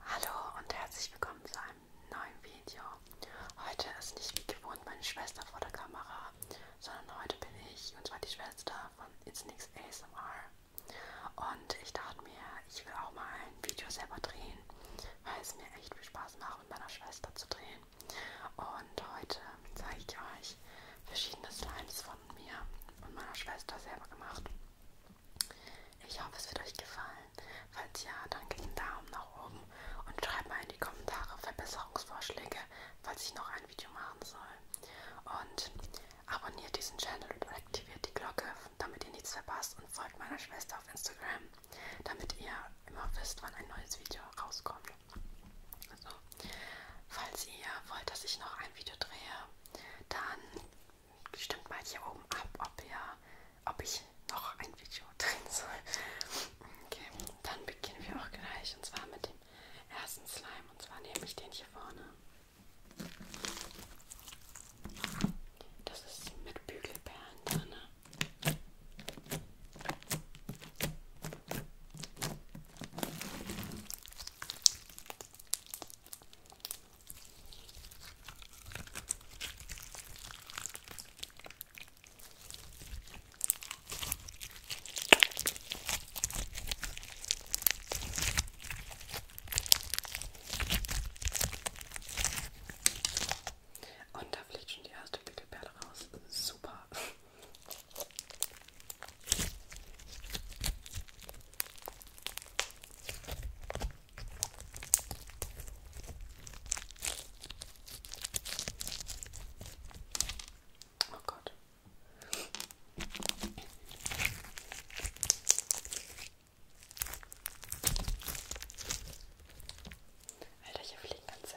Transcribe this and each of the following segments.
Hallo und herzlich willkommen zu einem neuen Video. Heute ist nicht wie gewohnt meine Schwester vor der Kamera, sondern heute bin ich, und zwar die Schwester von It's Nix ASMR. Und ich dachte mir, ich will auch mal ein Video selber drehen, weil es mir echt viel Spaß macht, mit meiner Schwester zu drehen. Und heute zeige ich euch, ich verschiedene Slimes von mir und meiner Schwester selber gemacht. Ich hoffe, es wird euch gefallen. Falls ja, dann gebt einen Daumen nach oben und schreibt mal in die Kommentare Verbesserungsvorschläge, falls ich noch ein Video machen soll. Und abonniert diesen Channel und aktiviert die Glocke, damit ihr nichts verpasst und folgt meiner Schwester auf Instagram, damit ihr immer wisst, wann ein neues Video rauskommt. So. Falls ihr wollt, dass ich noch ein Video drehe, dann stimmt mal hier oben ab, ob, ihr, ob ich noch ein Video drehen soll. Okay, dann beginnen wir auch gleich und zwar mit dem ersten Slime und zwar nehme ich den hier vorne. Das ist mit Bügelperlen drin. Und da fliegt schon die erste Pickelperle raus. Super. Oh Gott. Alter, hier fliegen ganze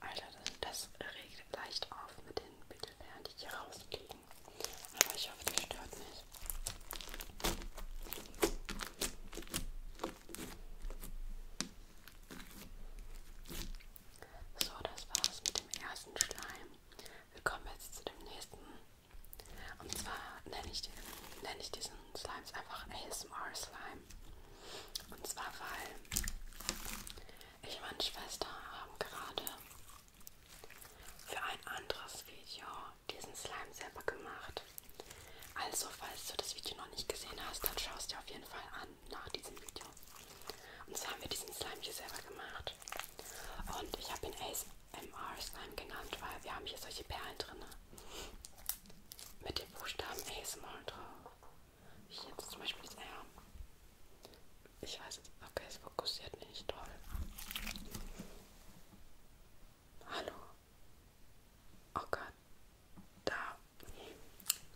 Alter, das, das regt leicht auf mit den Mittelbeeren, die hier rauskriegen. Aber ich hoffe, das stört nicht. So, das war's mit dem ersten Schleim. Wir kommen jetzt zu dem nächsten. Und zwar nenne ich, den, nenne ich diesen Slimes einfach ASMR Slime. Und zwar, weil ich und meine Schwester haben gerade für ein anderes Video diesen Slime selber gemacht. Also, falls du das Video noch nicht gesehen hast, dann schaust dir auf jeden Fall an nach diesem Video. Und so haben wir diesen Slime hier selber gemacht. Und ich habe ihn ASMR Slime genannt, weil wir haben hier solche Perlen drin. Ne? Mit den Buchstaben ASMR drauf. Hier jetzt zum Beispiel das R. Ich weiß jetzt, okay, es fokussiert nicht toll. Hallo. Oh Gott, da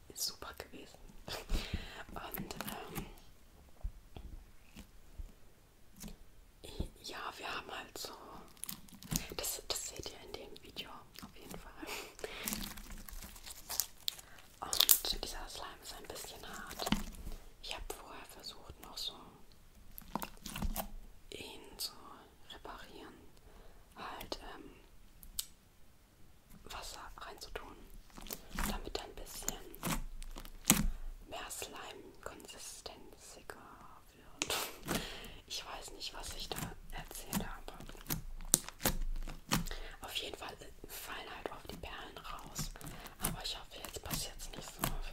ist super gewesen. Und ähm, ja, wir haben halt so, das, das seht ihr in dem Video auf jeden Fall. Und dieser Slime ist ein bisschen hart. Ich habe vorher versucht, noch so ihn zu reparieren. Halt ähm, Wasser reinzutun, damit ein bisschen mehr Slime-konsistenziger wird. Ich weiß nicht, was ich da erzählt habe. Auf jeden Fall fallen halt auf die Perlen raus. Aber ich hoffe, jetzt passiert es nicht so oft.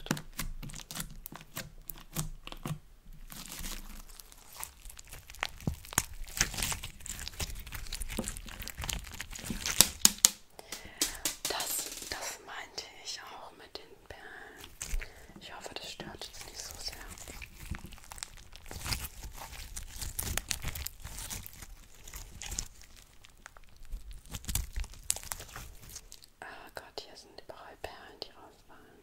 Das, das meinte ich auch mit den Perlen. Ich hoffe, das stört jetzt nicht so sehr. Ah oh Gott, hier sind überall Perlen, die rausfallen.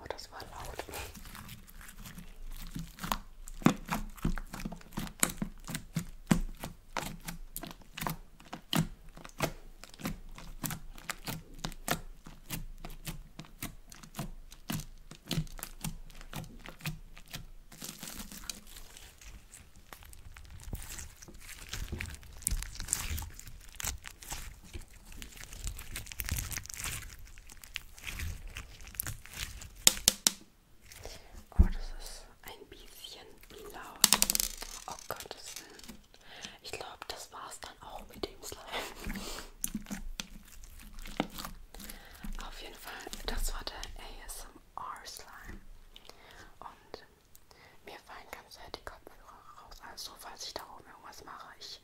Oh, das war laut. Oh, das ist ein bisschen laut. Oh Gottes Willen. Ich glaube, das war's dann auch mit dem Slime. Auf jeden Fall, das war der ASMR Slime. Und mir fallen ganz die Kopfhörer raus. Also, falls ich darauf kaum irgendwas mache. Ich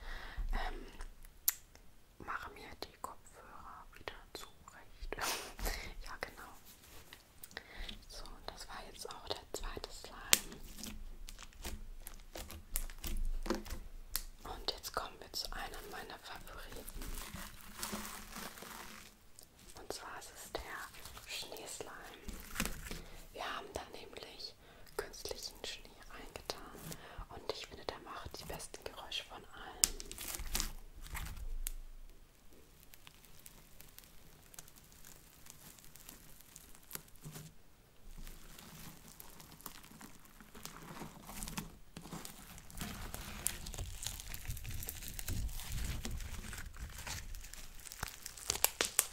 ähm, mache mir die Kopfhörer wieder zurecht. ja, genau. So, das war jetzt auch der zweite Slime. Und jetzt kommen wir zu einem meiner Favoriten. Und zwar ist es der Schneeslime. Wir haben da nämlich durch künstlichen Schnee eingetan und ich finde, der macht die besten Geräusche von allen.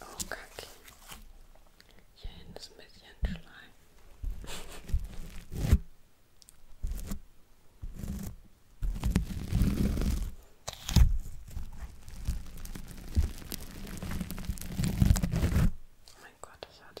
Oh, Kacke. Hier hinten ist ein bisschen Schleim. Mein Gott, das hat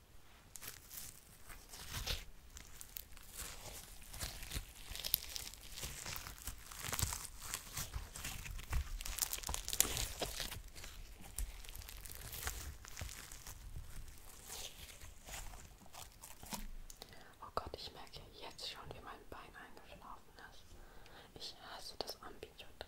Oh Gott, ich merke jetzt schon, wie mein Bein eingeschlafen ist. Ich hasse das Ambidiotraining.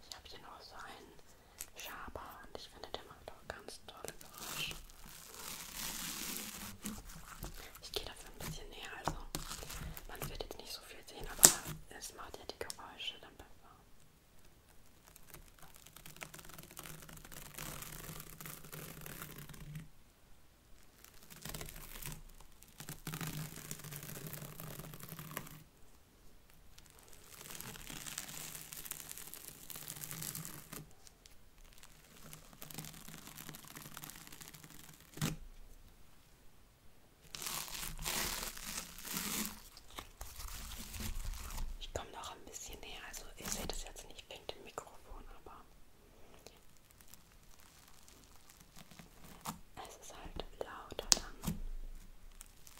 Ich habe hier noch so einen Schaber und ich finde, der macht auch ganz tolle Geräusche. Ich gehe dafür ein bisschen näher, also man wird jetzt nicht so viel sehen, aber es macht ja die Geräusche dann beim Fahren. Ich komme noch ein bisschen näher, also ihr seht es jetzt nicht wegen dem Mikrofon, aber es ist halt lauter dann.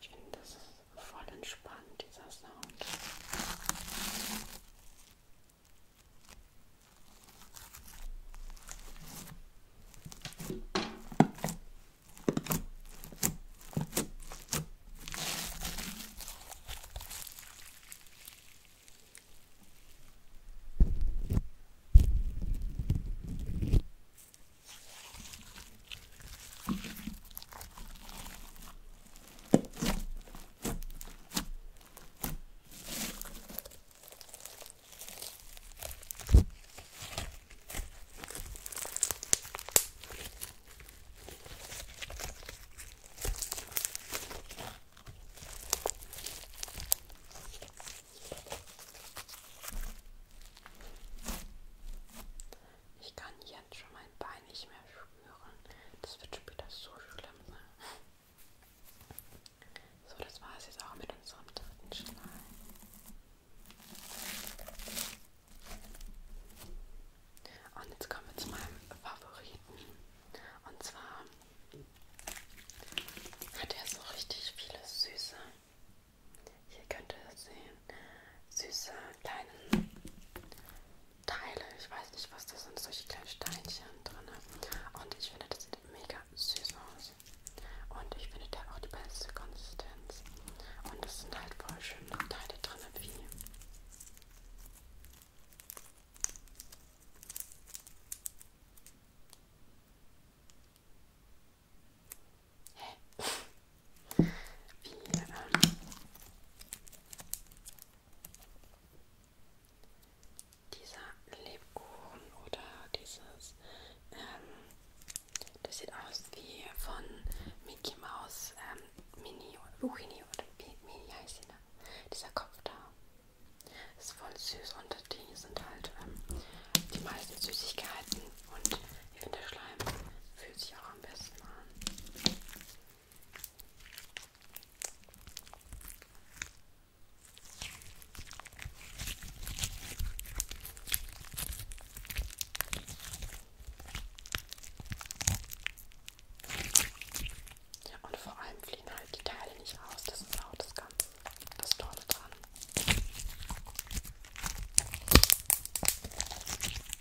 Ich finde, das ist voll entspannt, dieser Sound. Ich kann jetzt schon mein Bein nicht mehr spüren. Das wird später so schlimm sein. Ne? So, das war es jetzt auch mit unserem dritten Schlag. Und jetzt kommen wir zu meinem Favoriten. Und zwar hat er so richtig viele süße hier könnt ihr sehen, süße kleine Teile. Ich weiß nicht, was das sind, solche kleinen Steinchen drin. Und ich finde, das sieht mega süß aus. Und ich finde, der hat auch die beste Konsistenz. Und es sind halt voll schöne Teile drin, wie wie, ähm, dieser Lebkuchen oder dieses, ähm, das sieht aus wie von Mickey Mouse ähm, Mini oder Buchini oder Mini heißt sie, ne? Dieser Kopf da. Ist voll süß und die sind halt ähm, die meisten Süßigkeiten und ich finde der Schleim fühlt sich auch am besten an. Ja, und vor allem fliegen halt die Teile nicht aus. Das ist auch das Ganze, das Tolle dran.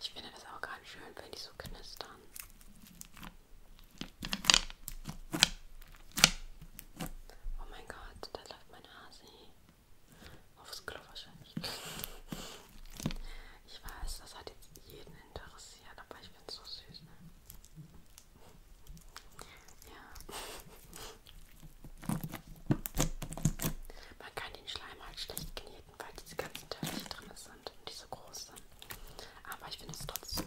Ich finde das auch ganz schön, wenn die so knistern. Oh mein Gott, da läuft mein Hasi. Aufs Klo wahrscheinlich. Ich weiß, das hat jetzt jeden interessiert, aber ich bin so süß. Ne? Ja. Man kann den Schleim halt schlecht kneten, weil diese ganzen Teilchen drin sind und die so groß sind. Aber ich finde es trotzdem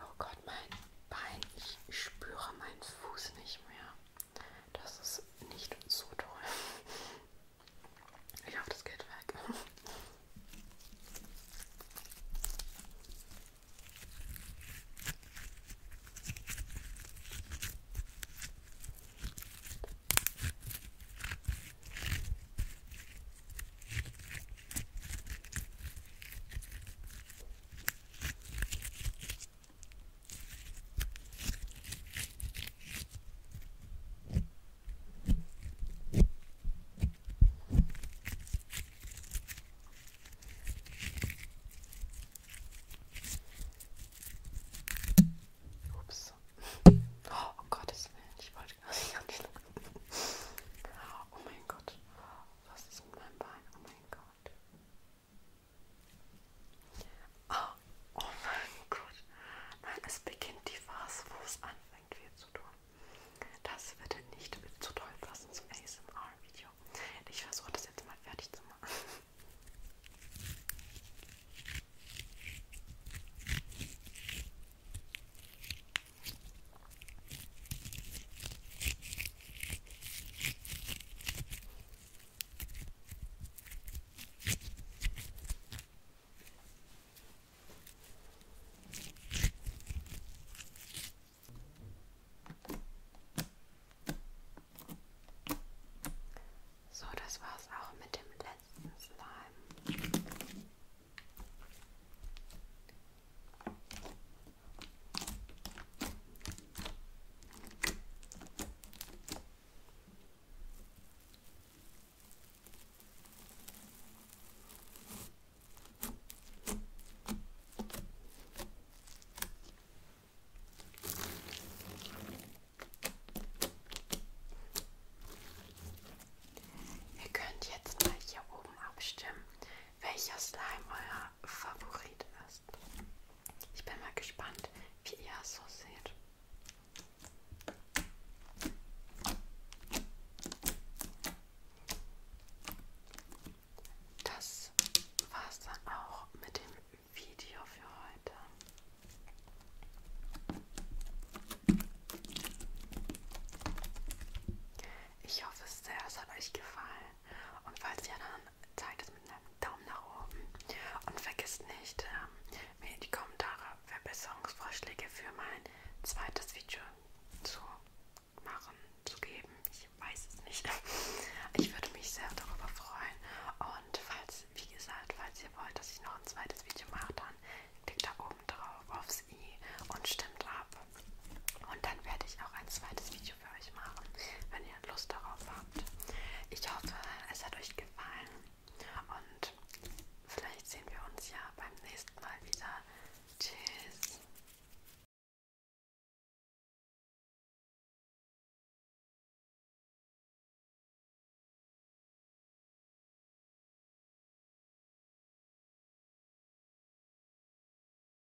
Oh Gott, mein Bein. Ich spüre meinen Fuß nicht mehr. Das ist nicht so toll. Ich hoffe, das geht weg. Ups. Oh, um Gottes Willen, ich wollte das gar nicht. Oh mein Gott, was ist mit meinem Bein? Oh mein Gott. Oh, oh mein Gott. Nein, es beginnt die Phase, wo es anfängt, weh zu tun. Das würde nicht zu toll passen zum ASMR-Video. Ich versuche das jetzt mal fertig zu machen. So, das war's auch mit dem letzten Slime. Ihr könnt jetzt mal hier oben abstimmen, welcher Slime euer Favorit ist. Ich bin mal gespannt, wie ihr es so seht. Das war es dann auch mit dem Video für heute. Ich hoffe sehr, es hat euch gefallen. Und falls ihr dann zeigt es mit einem Daumen nach oben und vergisst nicht, ähm, mir in die Kommentare Verbesserungsvorschläge für mein zweites Video zu machen, zu geben. Ich weiß es nicht. Ich würde mich sehr darüber freuen. Und falls, wie gesagt, falls ihr wollt, dass ich noch ein zweites Video mache, dann klickt da oben drauf aufs i und stimmt ab, und dann werde ich auch ein zweites Video für euch machen, wenn ihr Lust darauf habt. Ich hoffe, es hat euch gefallen und vielleicht sehen wir uns ja beim nächsten Mal wieder. Tschüss!